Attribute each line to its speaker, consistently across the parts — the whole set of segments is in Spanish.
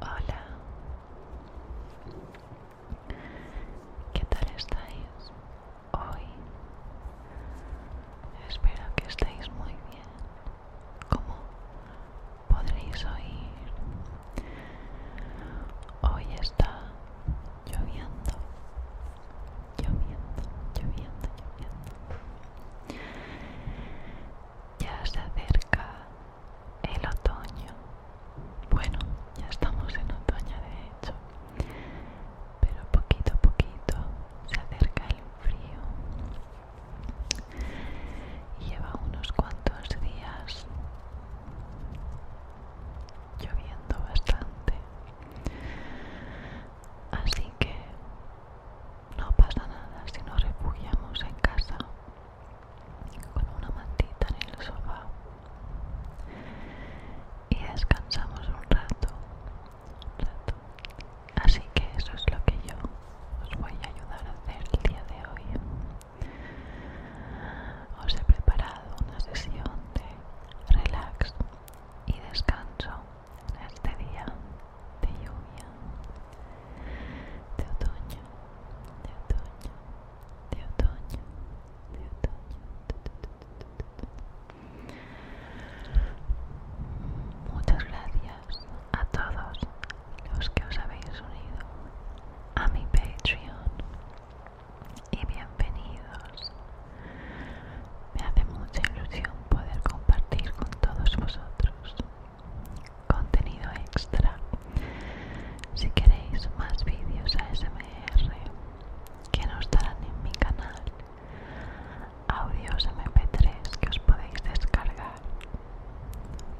Speaker 1: Hola, ¿qué tal estáis? hoy. Espero que estéis muy bien. Como podréis oír, hoy está lloviendo, lloviendo, lloviendo, lloviendo. Ya se acerca el otoño. Bueno, ya estamos en otoño de hecho pero poquito a poquito se acerca el frío y lleva unos cuantos días lloviendo bastante así que no pasa nada si nos refugiamos en casa con una mantita en el sofá y descansamos un rato, Así que eso es lo que yo os voy a ayudar a hacer el día de hoy. Os he preparado una sesión de relax y descanso en este día de lluvia, de otoño, de otoño, de otoño, de otoño, de otoño, Muchas gracias a todos los que os habéis unido a mi Patreon y bienvenidos. Me hace mucha ilusión poder compartir con todos vosotros contenido extra. Si queréis más vídeos ASMR que no estarán en mi canal, audios mp3 que os podéis descargar,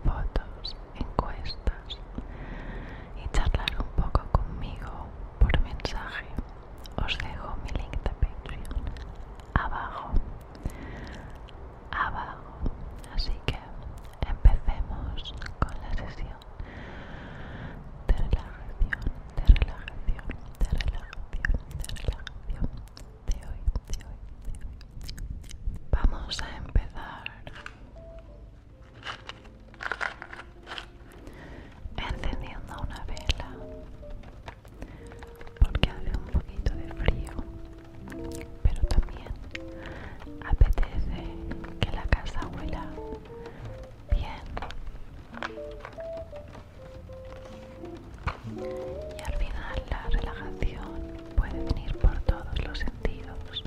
Speaker 1: fotos, encuestas y charlar un poco conmigo por mensaje. Os dejo mi link de Patreon abajo, abajo. Así que empecemos con la sesión de relajación, de relajación, de relajación, de relajación de hoy, de hoy, de hoy. Vamos a empezar encendiendo una vela porque hace un poquito de frío pero también apetece que la casa huela Bien. Y al final la relajación puede venir por todos los sentidos.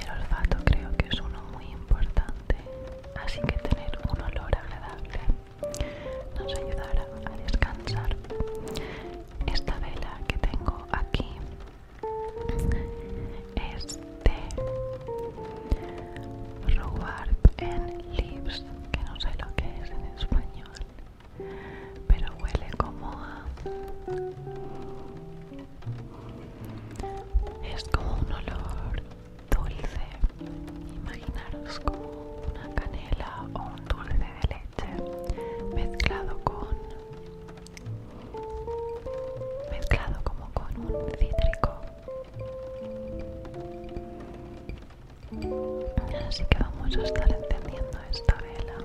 Speaker 1: El olfato creo que es uno muy importante, así que tener un olor agradable nos ayudará a descansar. Esta vela que tengo aquí este rhubarb en Lips, que no sé lo que es en español pero huele como a es como un olor dulce imaginaros como una canela o un dulce de leche mezclado con mezclado como con un cítrico. Así que vamos a estar encendiendo esta vela.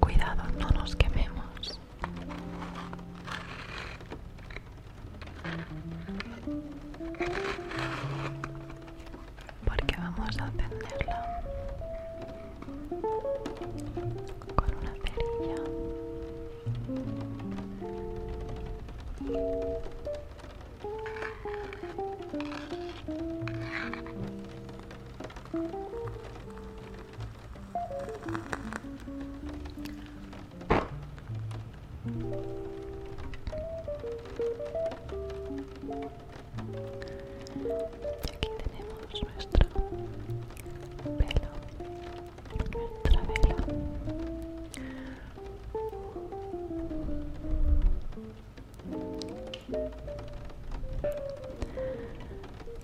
Speaker 1: Cuidado, no nos quememos. Porque vamos a encenderla con una cerilla. Aquí tenemos nuestro pelo, nuestra pelo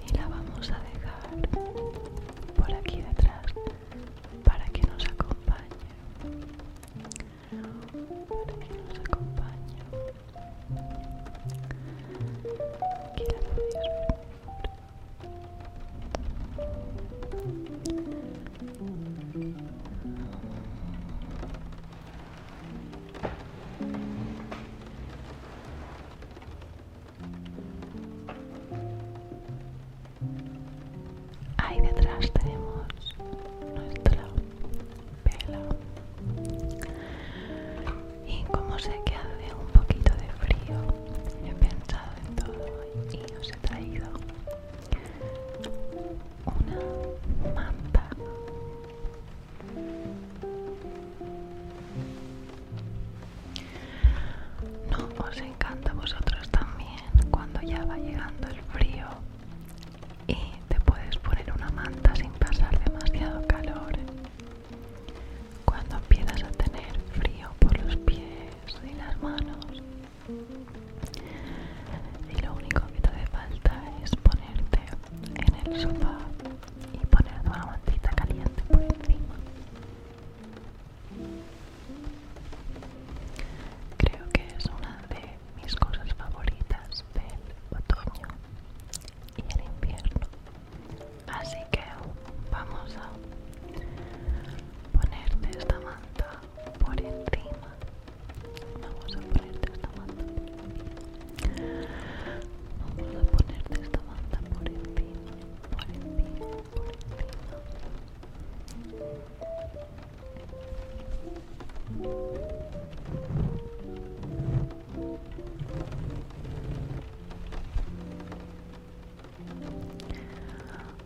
Speaker 1: y la vamos a dejar por aquí detrás para que nos acompañe para que nos acompañe aquí la Ahí detrás tenemos nuestra vela. Y como sé que hace un poquito de frío, he pensado en todo y os he traído una manta. No os encanta a vosotros también cuando ya va llegando el frío y te puedes poner una manta sin pasar demasiado calor. Cuando empiezas a tener frío por los pies y las manos, y lo único que te hace falta es ponerte en el sofá y ponerte una mantita caliente por encima creo que es una de mis cosas favoritas del otoño y el invierno así que vamos a ponerte esta manta por encima vamos a ponerte esta manta por encima vamos a ponerte esta manta por encima por encima por encima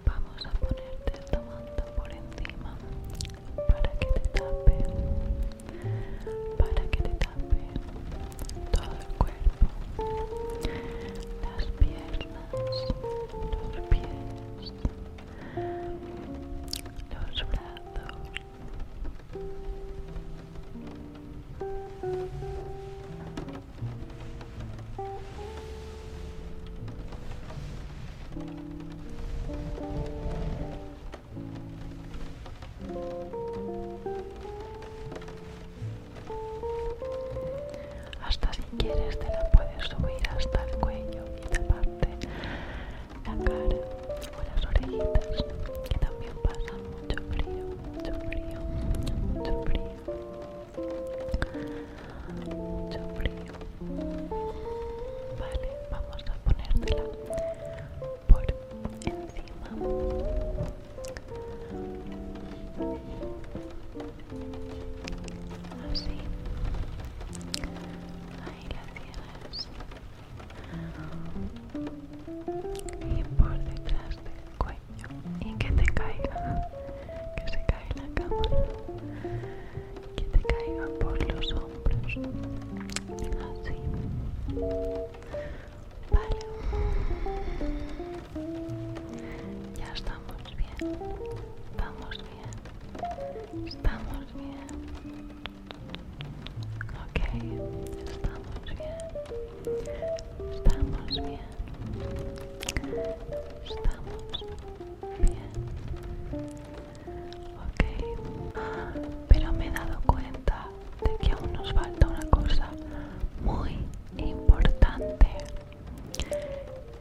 Speaker 1: vamos a ponerte esta manta por encima para que te tape para que te tape todo el cuerpo las piernas los pies los brazos hasta si quieres te la puedes subir hasta el cuello y parte, la cara o las orejitas, que también pasa mucho frío, mucho frío, mucho frío, mucho frío. Vale, vamos a ponértela por encima. Así. Ahí la tienes. Y por detrás del cuello. Y que te caiga. Que se caiga la cámara. que te caiga por los hombros así vale ya estamos bien vamos bien estamos bien ok estamos bien estamos bien estamos bien Ok, pero me he dado cuenta de que aún nos falta una cosa muy importante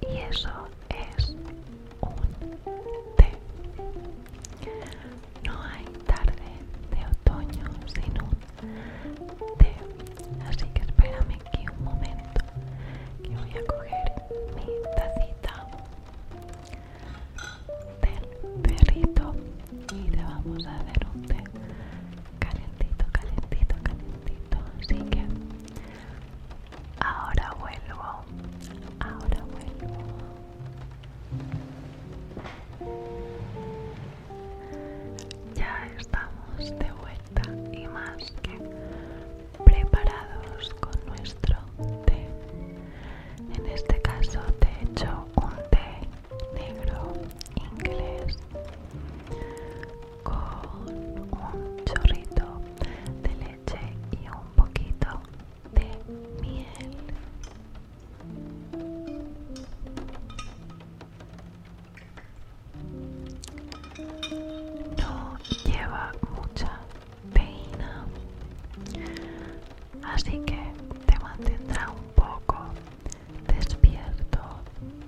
Speaker 1: y eso es un té. No hay tarde de otoño sin un té, así que espérame aquí un momento que voy a coger mi tacita del perrito y le vamos a hacer un té calentito, calentito, calentito. Así que ahora vuelvo, ahora vuelvo. Ya estamos de vuelta y más que preparados con nuestro té. En este caso te he hecho un té negro inglés con un chorrito de leche y un poquito de miel no lleva mucha pena, así que te mantendrá un poco despierto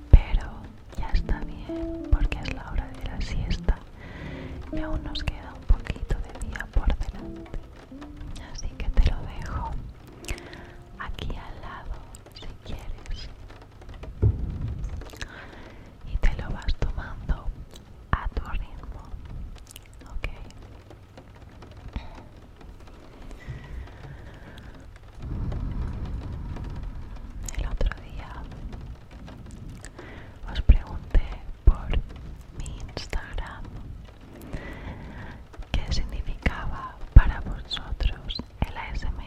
Speaker 1: pero ya está bien porque es la hora de la siesta y aún nos queda un poquito de día por delante así que te lo dejo aquí al lado si quieres y te lo vas tomando a tu ritmo ok el otro día os pregunté por mi Instagram qué significaba para vosotros el ASMR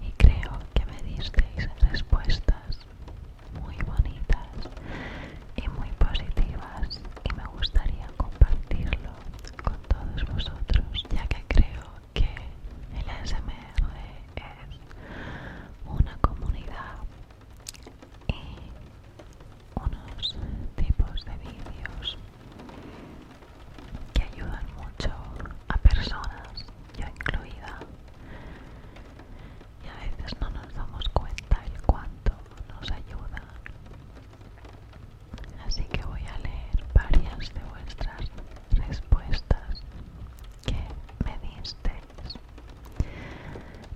Speaker 1: y creo que me disteis respuestas muy bonitas y muy positivas y me gustaría compartirlo con todos vosotros ya que creo que el ASMR es una comunidad y unos tipos de vídeos que ayudan mucho a personas ya incluida y a veces no nos damos cuenta el cuánto nos ayuda así que voy a leer varias de vuestras respuestas que me disteis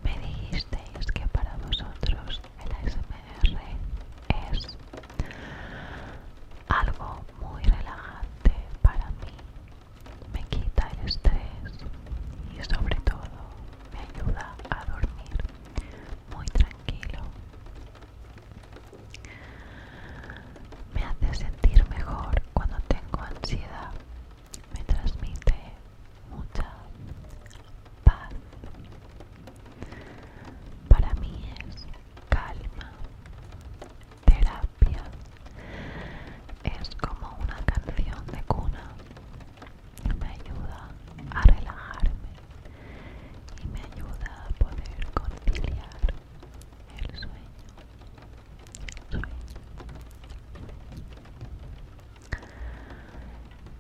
Speaker 1: me dijisteis que para vosotros el ASMR es algo muy relajante para mí. Me quita el estrés y sobre todo me ayuda a dormir muy tranquilo. Me hace sentir mejor cuando tengo ansiedad. Me transmite mucha paz. Para mí es calma terapia es como una canción de cuna me ayuda a relajarme y me ayuda a poder conciliar el sueño,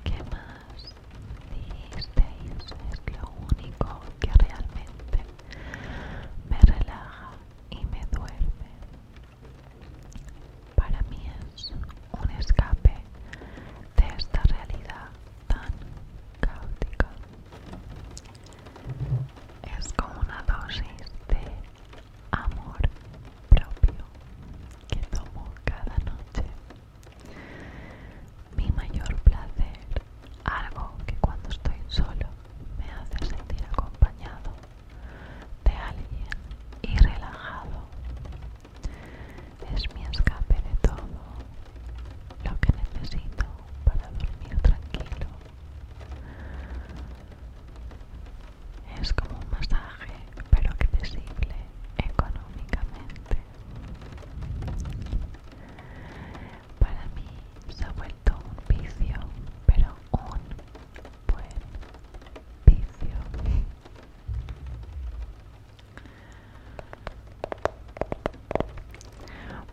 Speaker 1: ¿Qué más dijisteis? Es lo único que realmente me relaja y me duerme. Para mí es un escape de esta realidad tan caótica. Es como una dosis de amor propio que tomo cada noche. Mi mayor placer algo que cuando estoy solo me hace sentir acompañado de alguien y relajado. Es mi escape de todo lo que necesito para dormir tranquilo. Es como un masaje, pero que accesible económicamente para mí se ha vuelto un vicio, pero un buen vicio.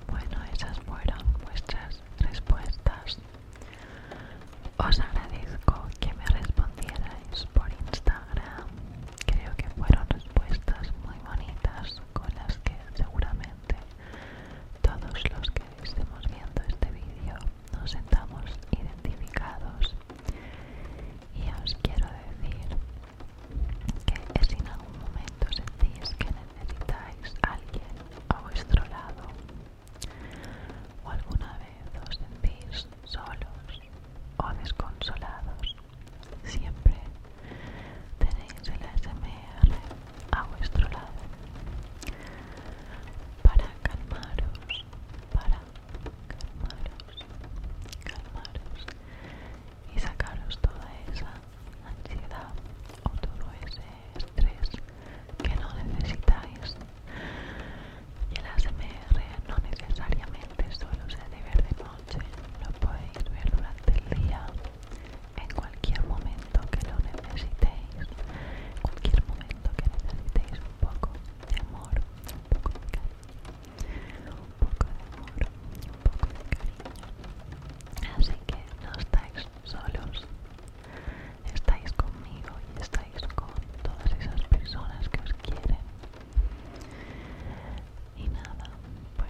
Speaker 1: Bueno, esas fueron vuestras respuestas. Os agradezco que me respondierais por Instagram. Creo que fueron respuestas muy bonitas con las que seguramente todos los que estemos viendo este vídeo nos sentamos identificados y os quiero decir que si en algún momento sentís que necesitáis a alguien a vuestro lado o alguna vez os sentís solos o desconsolados Siempre tenéis el ASMR a vuestro lado para calmaros, para calmaros, calmaros y sacaros toda esa ansiedad o todo ese estrés que no necesitáis. Y el ASMR no necesariamente solo se debe ver de noche, lo podéis ver durante el día en cualquier momento que lo necesitéis, en cualquier momento que necesitéis un poco de amor, un poco de cariño, un poco de amor, un poco de cariño. Así que no estáis solos, estáis conmigo y estáis con todas esas personas que os quieren. Y nada, pues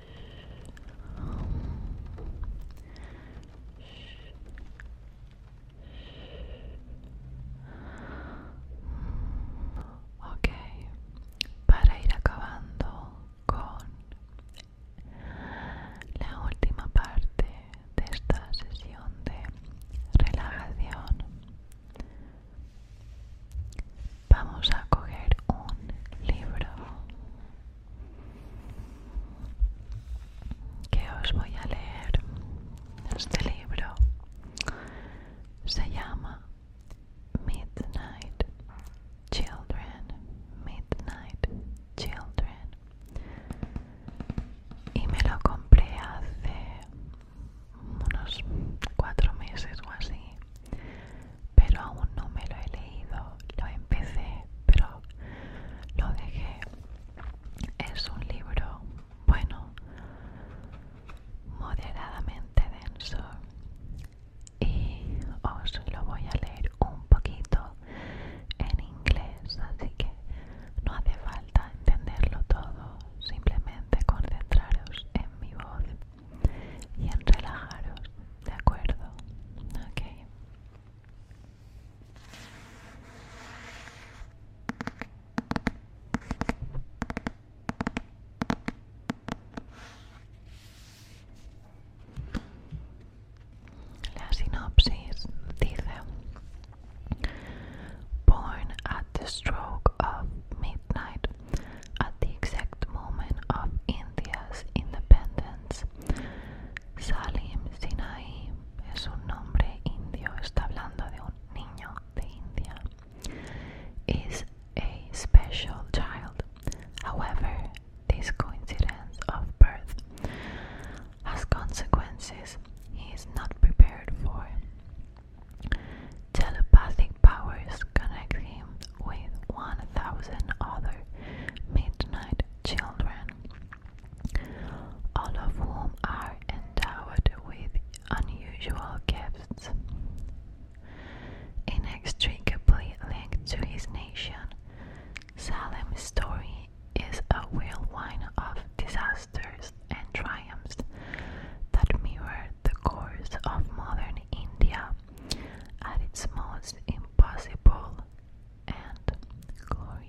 Speaker 1: Ok, para ir acabando con la última parte de esta sesión de relajación Vamos a coger un libro que os voy a leer. Este libro se llama Midnight Children, Midnight Children. Y me lo compré hace unos cuatro meses o así, pero aún no me lo he leído. Lo empecé, pero lo dejé. Es un libro, bueno, moderadamente denso y os lo voy a leer un poquito en inglés, así que no hace falta entenderlo todo, simplemente concentraros en mi voz y en relajaros, ¿de acuerdo? okay. La sinopsis dice: Born at the stroke of midnight At the exact moment of India's independence, Salim Sinai es un nombre indio, está hablando de un niño de India, is a special child. However, this coincidence of birth has consequences he is not prepared for. Telepathic powers connect him with 1,000 other midnight children, all of whom are endowed with unusual gifts. Inextricably linked to his nation, Salem's story is a whirlwind of disasters and triumphs that mirror the course of modern India at its most impossible and glorious.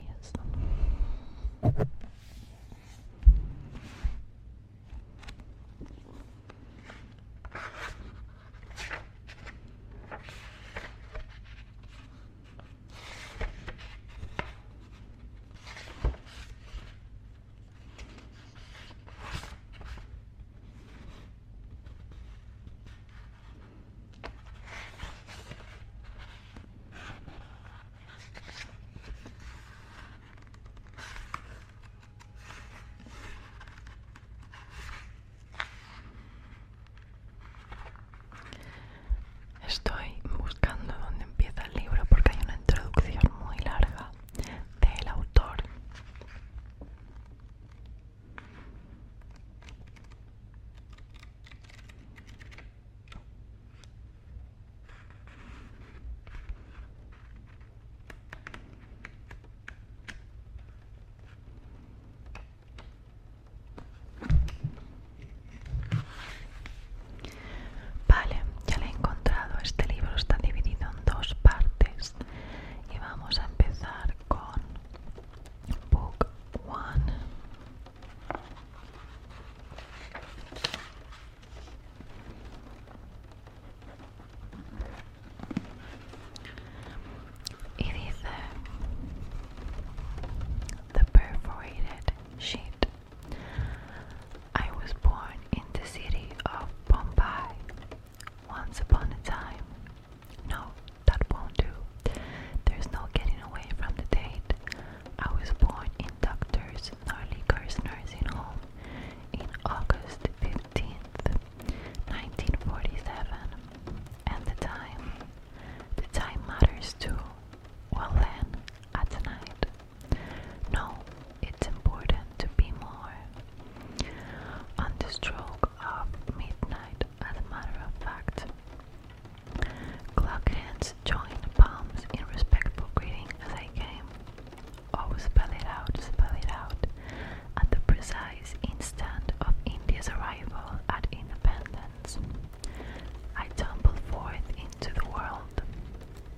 Speaker 1: Estoy buscando dónde empieza el libro porque hay una introducción muy larga del autor. Vale, ya la he encontrado. Este libro está dividido en dos partes. Y vamos a empezar con Book One. Y dice The Perforated Sheet. I was born in the city of Bombay once upon a time. No, that won't do. There's no getting away from the date. I was born in Doctors Norliker's nursing home in August 15th, 1947. And the time, the time matters too. Well then, at night, no, it's important to be more. On the stroke of midnight, as a matter of fact, clock hands joined palms in respectful greeting as I came. Oh, spell it out, spell it out. At the precise instant of India's arrival at independence, I tumbled forth to the world.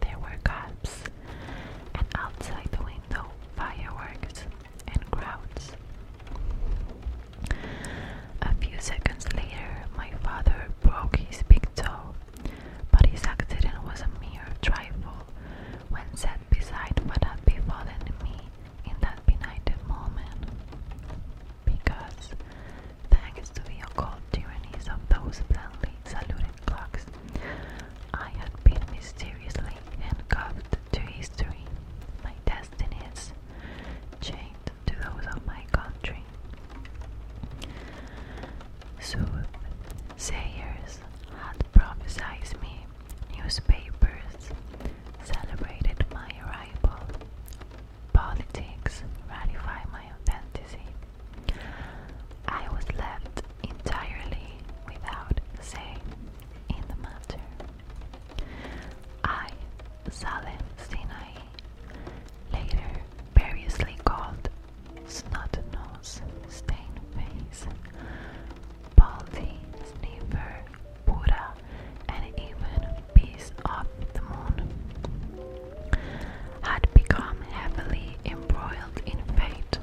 Speaker 1: There were gaps, and outside the window, fireworks and crowds. A few seconds later, my father broke his big toe, but his accident was a mere trifle when set beside what had befallen me in that benighted moment. Because, thanks to the occult tyrannies of those blandly saluted Cox. I had been mysteriously handcuffed to history. My destinies chained to those of my country. Soothsayers had prophesied me. Newspapers celebrated my arrival. Politics ratified my authenticity. I was left entirely without say in the matter. I, Salem Sinai, later variously called Snot Nose, Stain Face, Baldy, Sniffer, Buddha, and even Piece of the Moon, had become heavily embroiled in fate.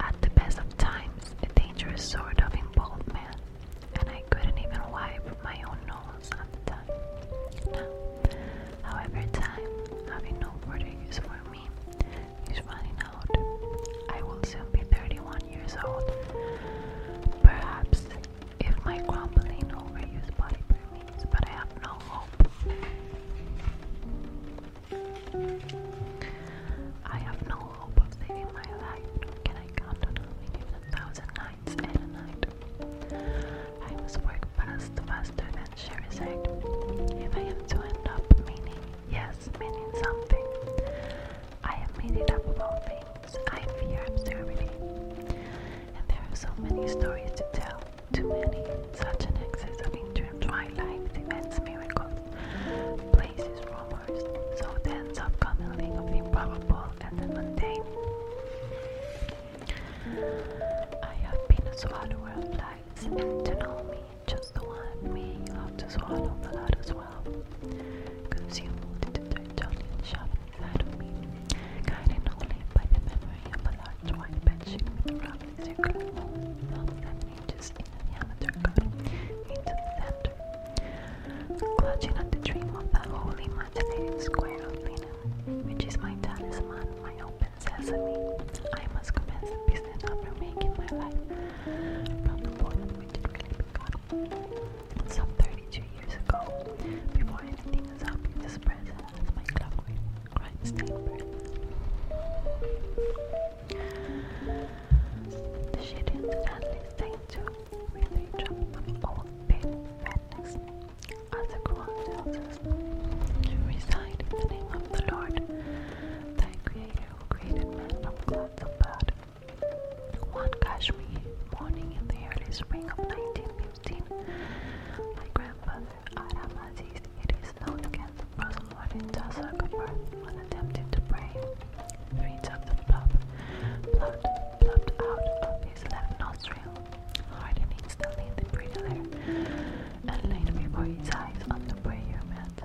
Speaker 1: At the best of times, a dangerous sort of involvement, and I couldn't even wipe my own nose at however, time, having no further for me, is running out. I will soon be 31 years old. Perhaps if my grumbling overused body permits but I have no hope. I have no hope of saving my life, can I count on living a thousand nights and a night. I must work fast, faster than Sherizade, if I am to end up meaning, yes, meaning something. I have made it up of things, I fear absurdity, and there are so many stories to tell. Too many, such an excess of interest, my life, events, miracles, places, rumors, so ends up coming of the improbable and the mundane. I have been a swallower of lights, and to know me, just the one me, you have to swallow the lot as well. Consumed to the shop inside of me, guided only by the memory of a large white bedsheet with a round circular hole about seven inches in diameter cut into the center. Clutching at the dream of that wholly imaginative square of linen, which is my talisman, my open sesame, I must commence the business of remaking my life from the point at which it began. Some 32 years ago, before anything was obvious, present, my clockwork The shading sadly stayed to with a drop old pale madness. As the reside in the name of the Lord, thy creator who created man from clouds of blood. One Kashmir morning in the early spring of 19 you've seen my grandfather Aramaziz, it is known against the first morning Tasakapur when attempting to pray. Reads of blood, blood out of his left nostril, hardened instantly in the brittle air, and laid before his eyes on the prayer mat.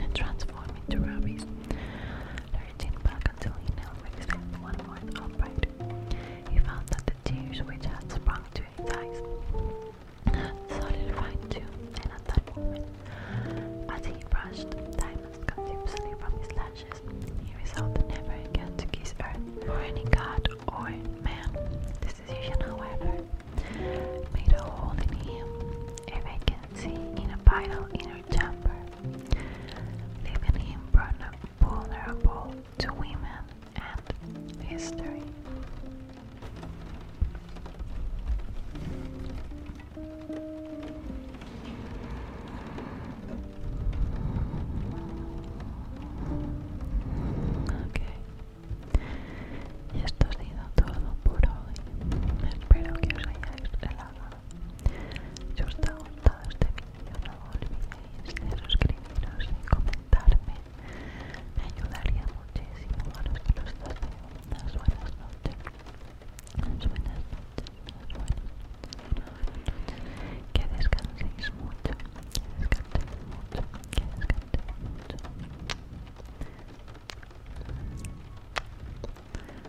Speaker 1: And transform into Thirteen back until he knelt with his head one more He found that the tears which had sprung to his eyes had solidified too, and at that moment, as he brushed the diamonds contemptuously from his lashes, he resolved never again to kiss earth, or any god, or man. This decision, however, made a hole in him, a vacancy in a vital inner chamber, leaving him vulnerable to women and history. Ok, y esto ha sido todo por hoy. Espero que os Si os ha gustado este vídeo no olvidéis de suscribiros y comentarme. Me ayudaría muchísimo a los que nos unas buenas noches. Unas buenas noches, unas buenas noches. Que descanséis mucho, que descanséis mucho, que descanséis mucho.